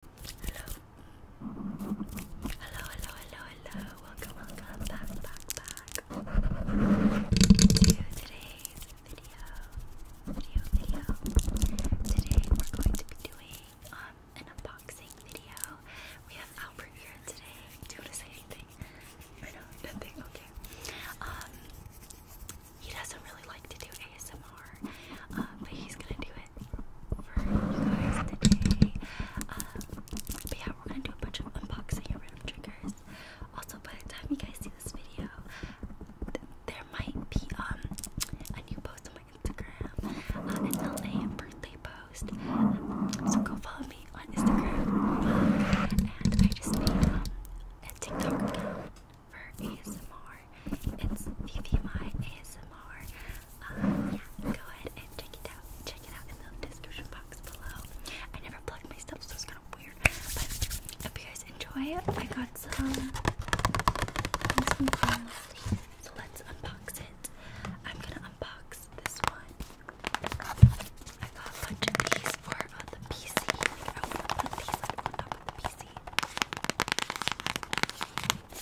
Hello. Hello, hello, hello, Welcome, welcome back, back, back to today's video. Video, video. Today we're going to be doing an unboxing video. We have Albert here today. Do you want to say anything? I know, nothing. Okay. Um, he doesn't really like to do ASMR, but he's gonna do it. Um, but yeah, we're gonna do a bunch of unboxing and random triggers. Also, by the time you guys see this video, there might be um a new post on my Instagram, uh, an LA birthday post. so go follow me on Instagram. and I just made um, a TikTok account for ASMR it's VVY ASMR. Um, yeah, go ahead and check it out. Check it out in the description box below. I never plugged my stuff, so it's kind of weird. But hope you guys enjoy it. I got some So let's unbox it. I'm gonna unbox this one. I got a bunch of these for uh, the PC. I want to put these on top of the PC.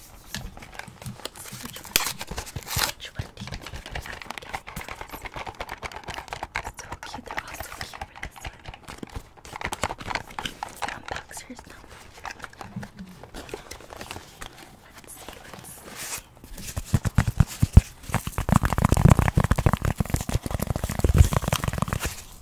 see which one, which one do you think I will get? So cute, they're all so cute for this one. Some boxers, no. Let's see, let's see.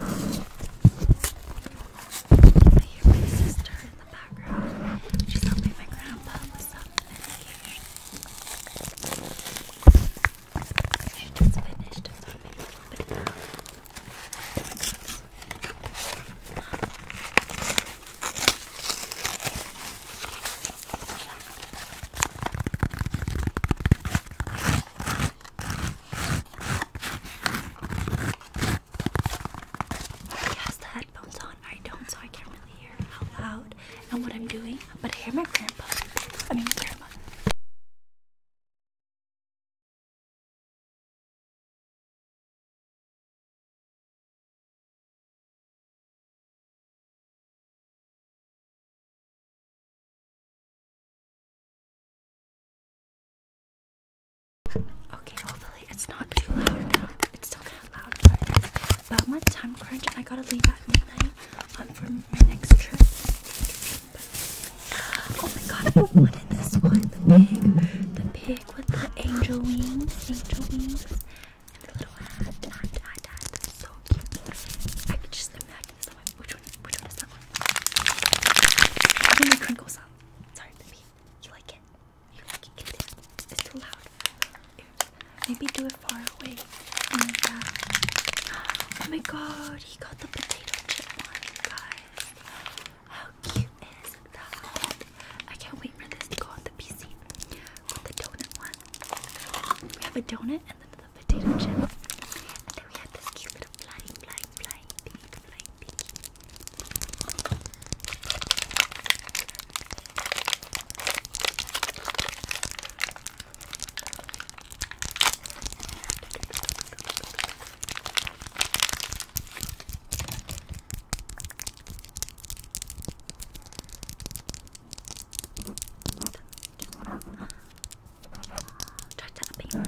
I hear my sister in the background. She's helping my grandpa with something. She just finished filming he has the headphones on. I don't, so I can't really hear how loud and what I'm doing. But I hear my grandpa. I mean, grandma. Okay, hopefully it's not too loud now. It's still kind of loud, but about my time crunch, I gotta leave at midnight I'm for my next trip. oh my god, what is this one? The pig. The pig with the angel wings. Angel wings. And the little hat. Hat, hat, hat. So cute. I could just imagine this. One. Which one? Which one is that one? I think the crinkle sound. Sorry, baby. You like it? it is, too loud. Maybe do it far away. oh my god, oh he got the potato chip one, guys. How cute is that? I can't wait for this to go on the PC. the donut one. We have a donut and then the potato chip. And then we had this cute little flying, flying, flying, big, flying, Start tapping on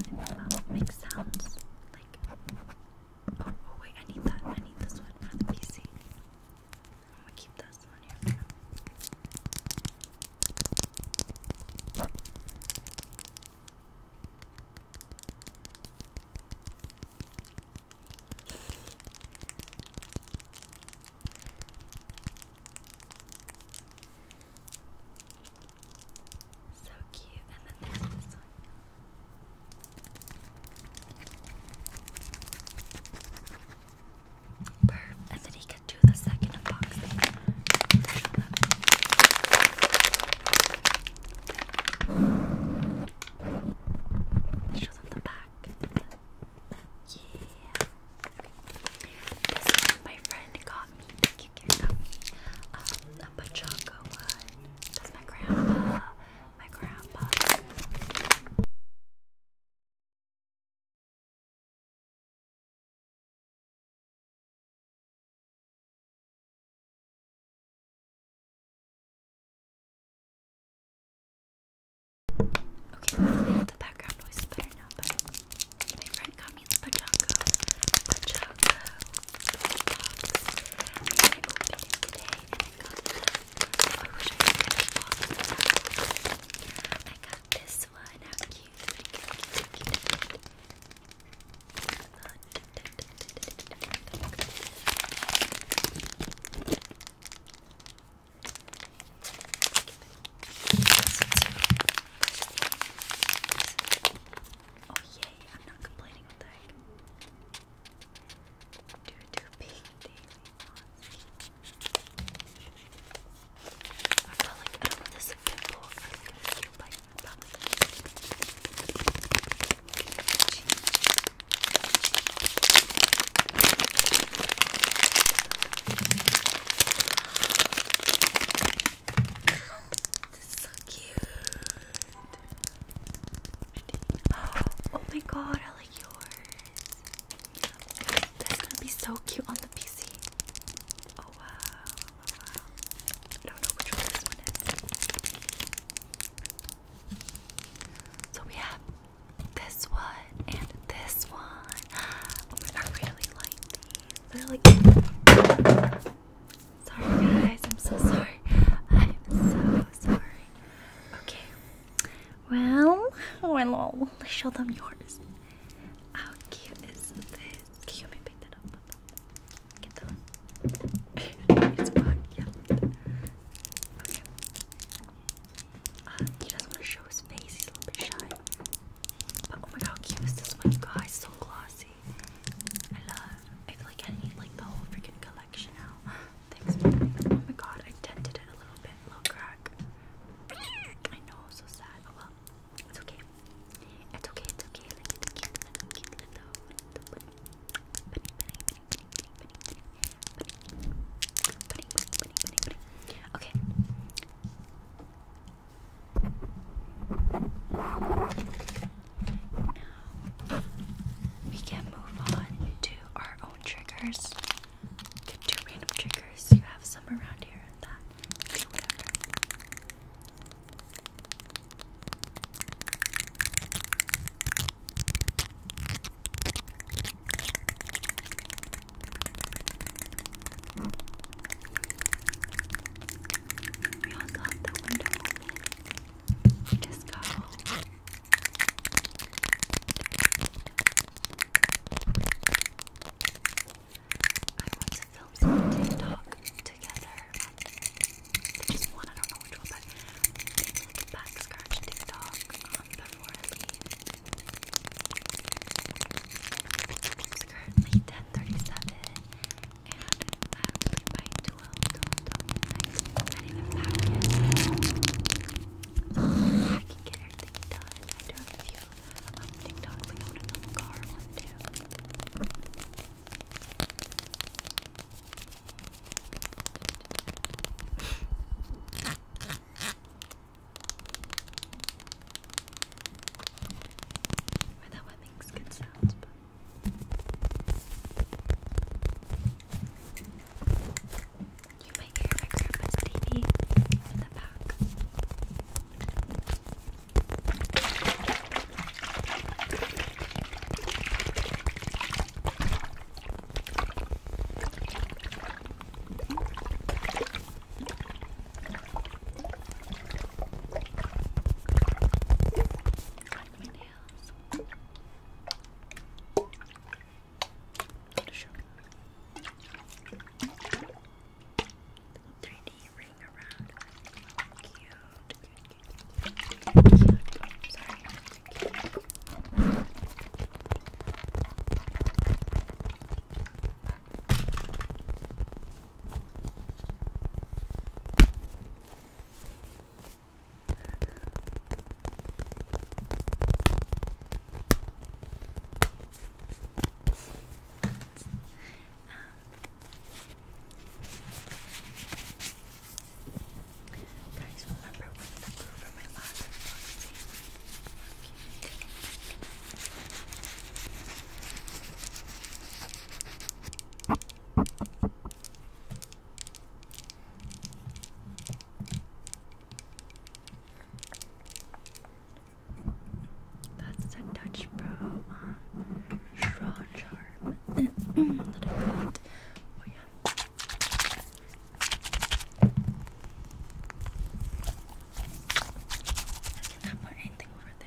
it. Make sounds like Oh, wait, I need that. I need this one for the PC. I'm keep this one here. For now. So cute, and then there's this and then he can do the second unboxing. Show them, the back. Yeah. my friend got me. Um, a Pachaco one. That's my grandma my grandpa. Okay, the background noise is better now, my friend got me the pachanga. Pachanga I opened I got I a box this one. How cute. cute. Oh, yay, I'm not complaining with that. Due to being daily I felt like, I don't know, this is a pimple or if it's a cute bite. Probably. This is so cute. Oh, my god, I like yours. That's gonna be so cute on the PC. Oh wow, wow, wow. I don't know which one this one is. So we have this one and this one. Oh I really like these. They're like Sorry, guys, I'm so sorry. I'm so sorry. Okay. Well, well, let's show them yours. How cute is this? Can you help me pick that up? Get that it's fun, yeah. Okay. Uh, he doesn't want to show his face, he's a little bit shy. But oh my god, how cute is this one? Guys, so glossy. I love. I feel like I need like the whole freaking collection now. Thanks. oh my god, I dented it a little bit, little crack. I know, so sad. Oh well, it's okay. It's okay. It's okay. Okay. Now we can move on to our own triggers. Get random triggers. You have some around here and that. Do whatever. We also have just go. I want to film some TikTok together. I just one, I know which one, but maybe TikTok currently 10:37, I was not pack can get everything done. I a few um, TikToks like I want another car one too. I thought that makes good sounds, you might hear my grandma's TV in the back nails. Sure. 3D ring around. Cute. Cute, cute, cute. cute. Oh, sorry. Cute. Guys, remember when the crew from my last unboxing? Okay. That's the Dutch Pro um, straw charm that I Oh yeah. Doesn't have anything for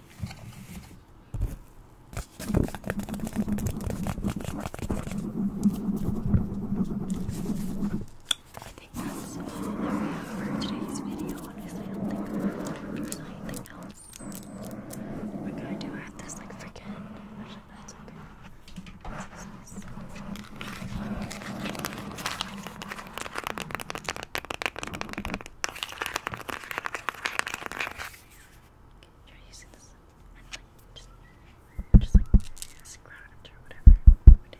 I think that's all that we have for today's video. Honestly, I don't think we're going anything else. We're going to do add this like freaking. Actually, that's okay. Try using this just, just like scrub it or whatever. It's a bit twisty.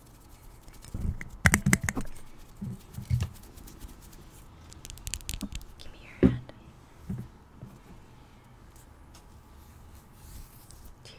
Give me your hand. Here.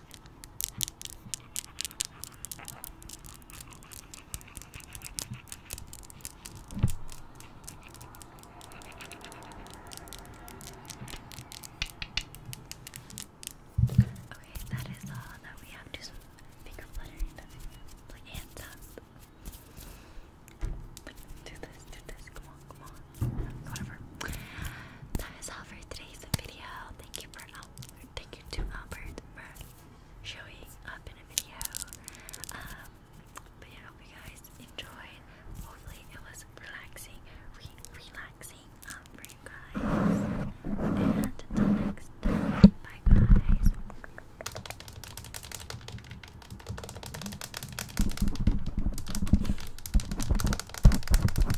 Okay, that is all that we have. Do finger fluttering. Like hands up. do this, do this. Come on, come on. Whatever. That is all for today's video. Thank you for thank you to Albert for showing up in a video. Um, but yeah, I hope you guys enjoyed. Hopefully, it was relaxing, relaxing um, for you guys. And until next time, bye guys.